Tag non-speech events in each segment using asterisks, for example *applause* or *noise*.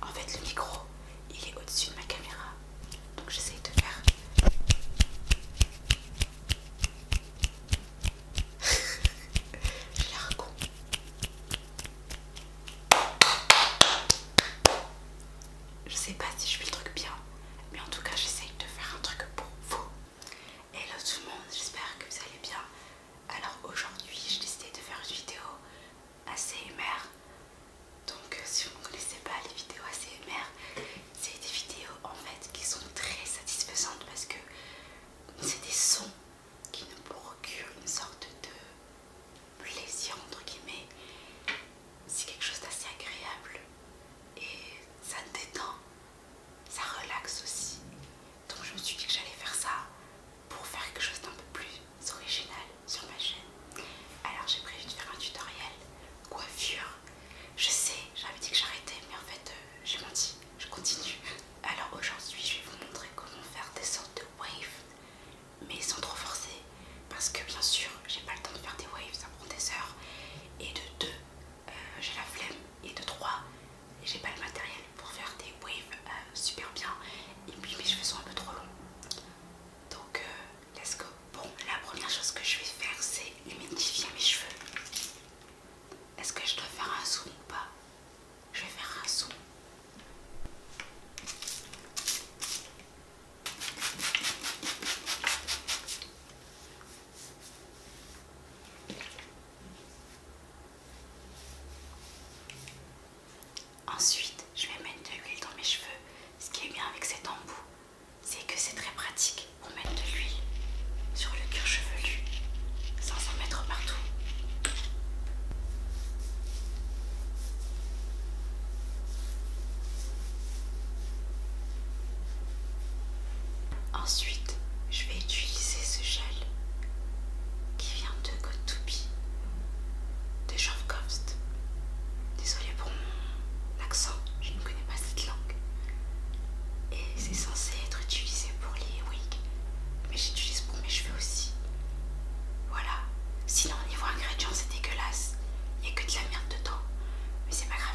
En fait, le micro, il est au-dessus de ma caméra. Donc j'essaye de faire... *laughs* con. Je sais pas si je fais le truc bien, mais en tout cas j'essaye de faire un truc pour vous. Hello tout le monde, j'espère que vous allez bien. Alors aujourd'hui j'ai décidé de faire une vidéo ACMR Donc si vous ne connaissez pas les vidéos ACMR C'est des vidéos en fait qui sont très satisfaisantes parce que c'est des sons qui nous procurent une sorte de plaisir entre guillemets C'est quelque chose d'assez agréable et ça détend, ça relaxe aussi donc je me suis dit que j'allais faire ça pour faire quelque chose d'un peu plus original sur ma chaîne. Alors j'ai prévu de faire un tutoriel coiffure. Je sais, j'avais dit que j'arrêtais, mais en fait euh, j'ai menti, je continue. Alors aujourd'hui je vais vous montrer comment faire des sortes de waves, mais sans trop forcer, parce que bien sûr j'ai pas le temps de faire des waves, ça prend des heures, et de deux euh, j'ai la flemme, et de trois j'ai pas le matériel pour faire des waves euh, super bien et puis mes cheveux sont un peu trop longs donc euh, let's go bon la première chose que je vais faire c'est humidifier mes cheveux est-ce que je dois faire un zoom ou pas je vais faire un zoom Ensuite, je vais mettre de l'huile dans mes cheveux. Ce qui est bien avec cet embout, c'est que c'est très pratique pour mettre de l'huile sur le cuir chevelu sans en mettre partout. Ensuite, je vais utiliser ce gel qui vient de Gotupi, de Jovkovst. Désolée pour mon accent, je ne connais pas cette langue. Et c'est censé être utilisé pour les wigs, mais j'utilise pour mes cheveux aussi. Voilà. Sinon, niveau ingrédients, c'est dégueulasse. Il n'y a que de la merde dedans. Mais c'est pas grave.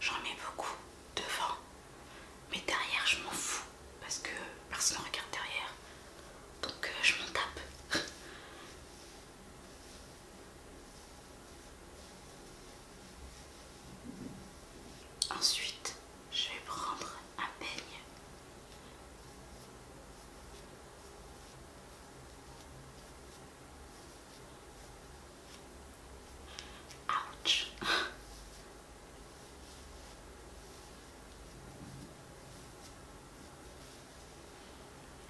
J'en mets beaucoup devant, mais derrière je m'en fous parce que personne ne regarde derrière, donc euh, je m'en tape. *laughs* Ensuite, je vais prendre un peigne Ouch.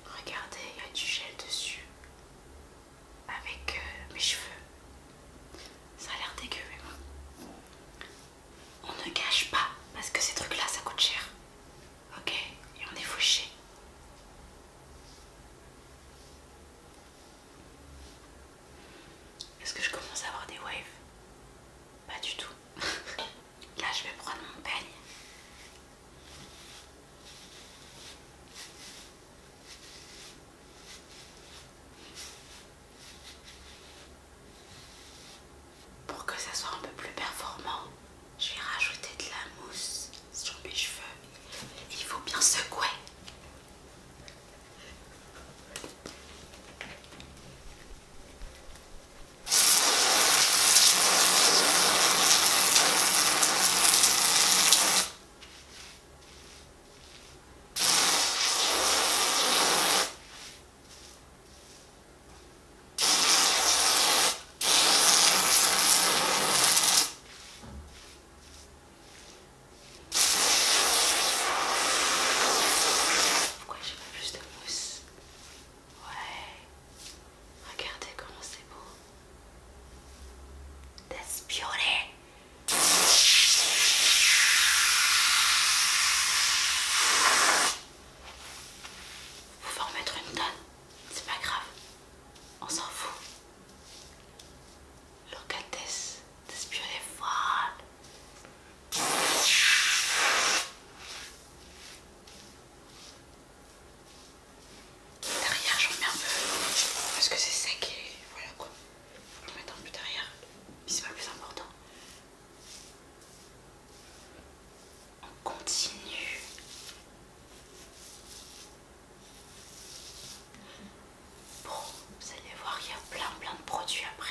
Regardez, il y a du gel dessus avec euh, mes cheveux. Ça a l'air dégueu, on ne gâche pas parce que ces trucs là ça coûte cher. Ok Et on est fauché. Est-ce que je commence à avoir des waves Pas du tout. *laughs* Là je vais prendre mon peigne. Pour que ça soit un peu plus performant, j'ai rajouté de la mousse sur mes cheveux. Il faut bien secouer. Pourquoi j'ai pas plus de mousse Ouais. Regardez comment c'est beau. Vous pouvez en mettre une tonne, c'est pas grave, on s'en fout. Locates despioleval. Derrière, j'en mets un peu parce que c'est sec et voilà quoi. Faut en mettre un peu derrière, mais c'est pas le plus important. On continue. Bon, vous allez voir, il y a plein plein de produits après.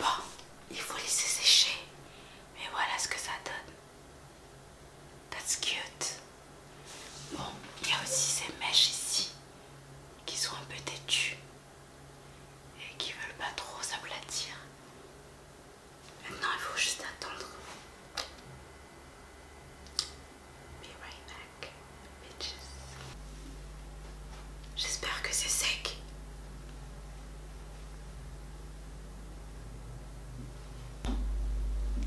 Bon, il faut laisser sécher. Mais voilà ce que ça donne. That's cute. Bon, il y a aussi ces mèches ici qui sont un peu têtues et qui veulent pas trop s'aplatir. Maintenant, il faut juste attendre. Be right back, bitches. J'espère que c'est sec.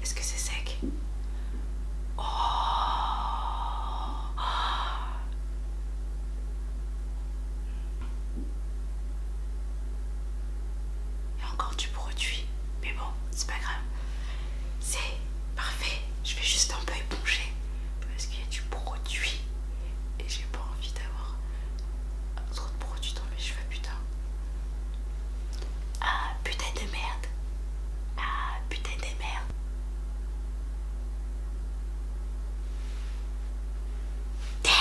Est-ce que c'est sec oh. Il y a encore du produit, mais bon, c'est pas grave. C'est parfait. Je vais juste un peu éponger parce qu'il y a du produit et j'ai pas envie d'avoir trop de produit dans mes cheveux, putain. Ah putain de merde. Ah putain de merde. Damn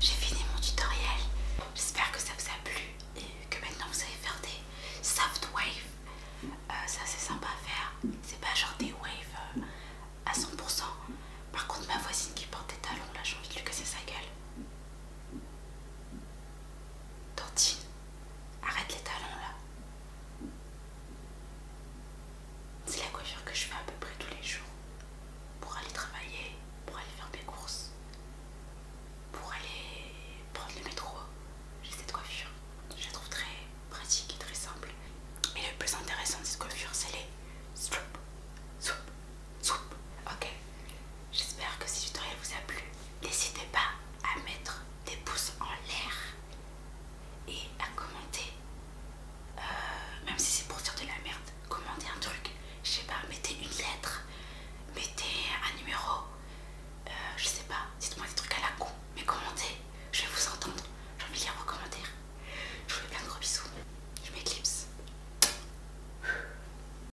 J'ai fini mon tutoriel. J'espère que ça vous a plu et que maintenant vous savez faire des soft waves. C'est euh, ça c'est sympa à faire. C'est pas genre des waves euh, à 100%. Par contre ma voisine qui porte des talons là j'ai envie de lui casser sa gueule. Tantine, arrête les talons là. C'est la coiffure que je fais à peu près tous les jours. Pour aller travailler, pour aller faire des courses, pour aller prendre le métro. J'ai cette coiffure. Je la trouve très pratique et très simple. Mais le plus intéressant de cette coiffure, c'est les Ok. J'espère que ce tutoriel vous a plu. N'hésitez pas à mettre des pouces en l'air et à commenter. Euh, même si c'est pour dire de la merde, commentez un truc. Je sais pas, mettez une lettre, mettez un numéro. Euh, je sais pas, dites-moi des trucs à la con, mais commentez, je vais vous entendre, j'ai envie de lire vos commentaires. Je vous fais plein de gros bisous, je m'éclipse.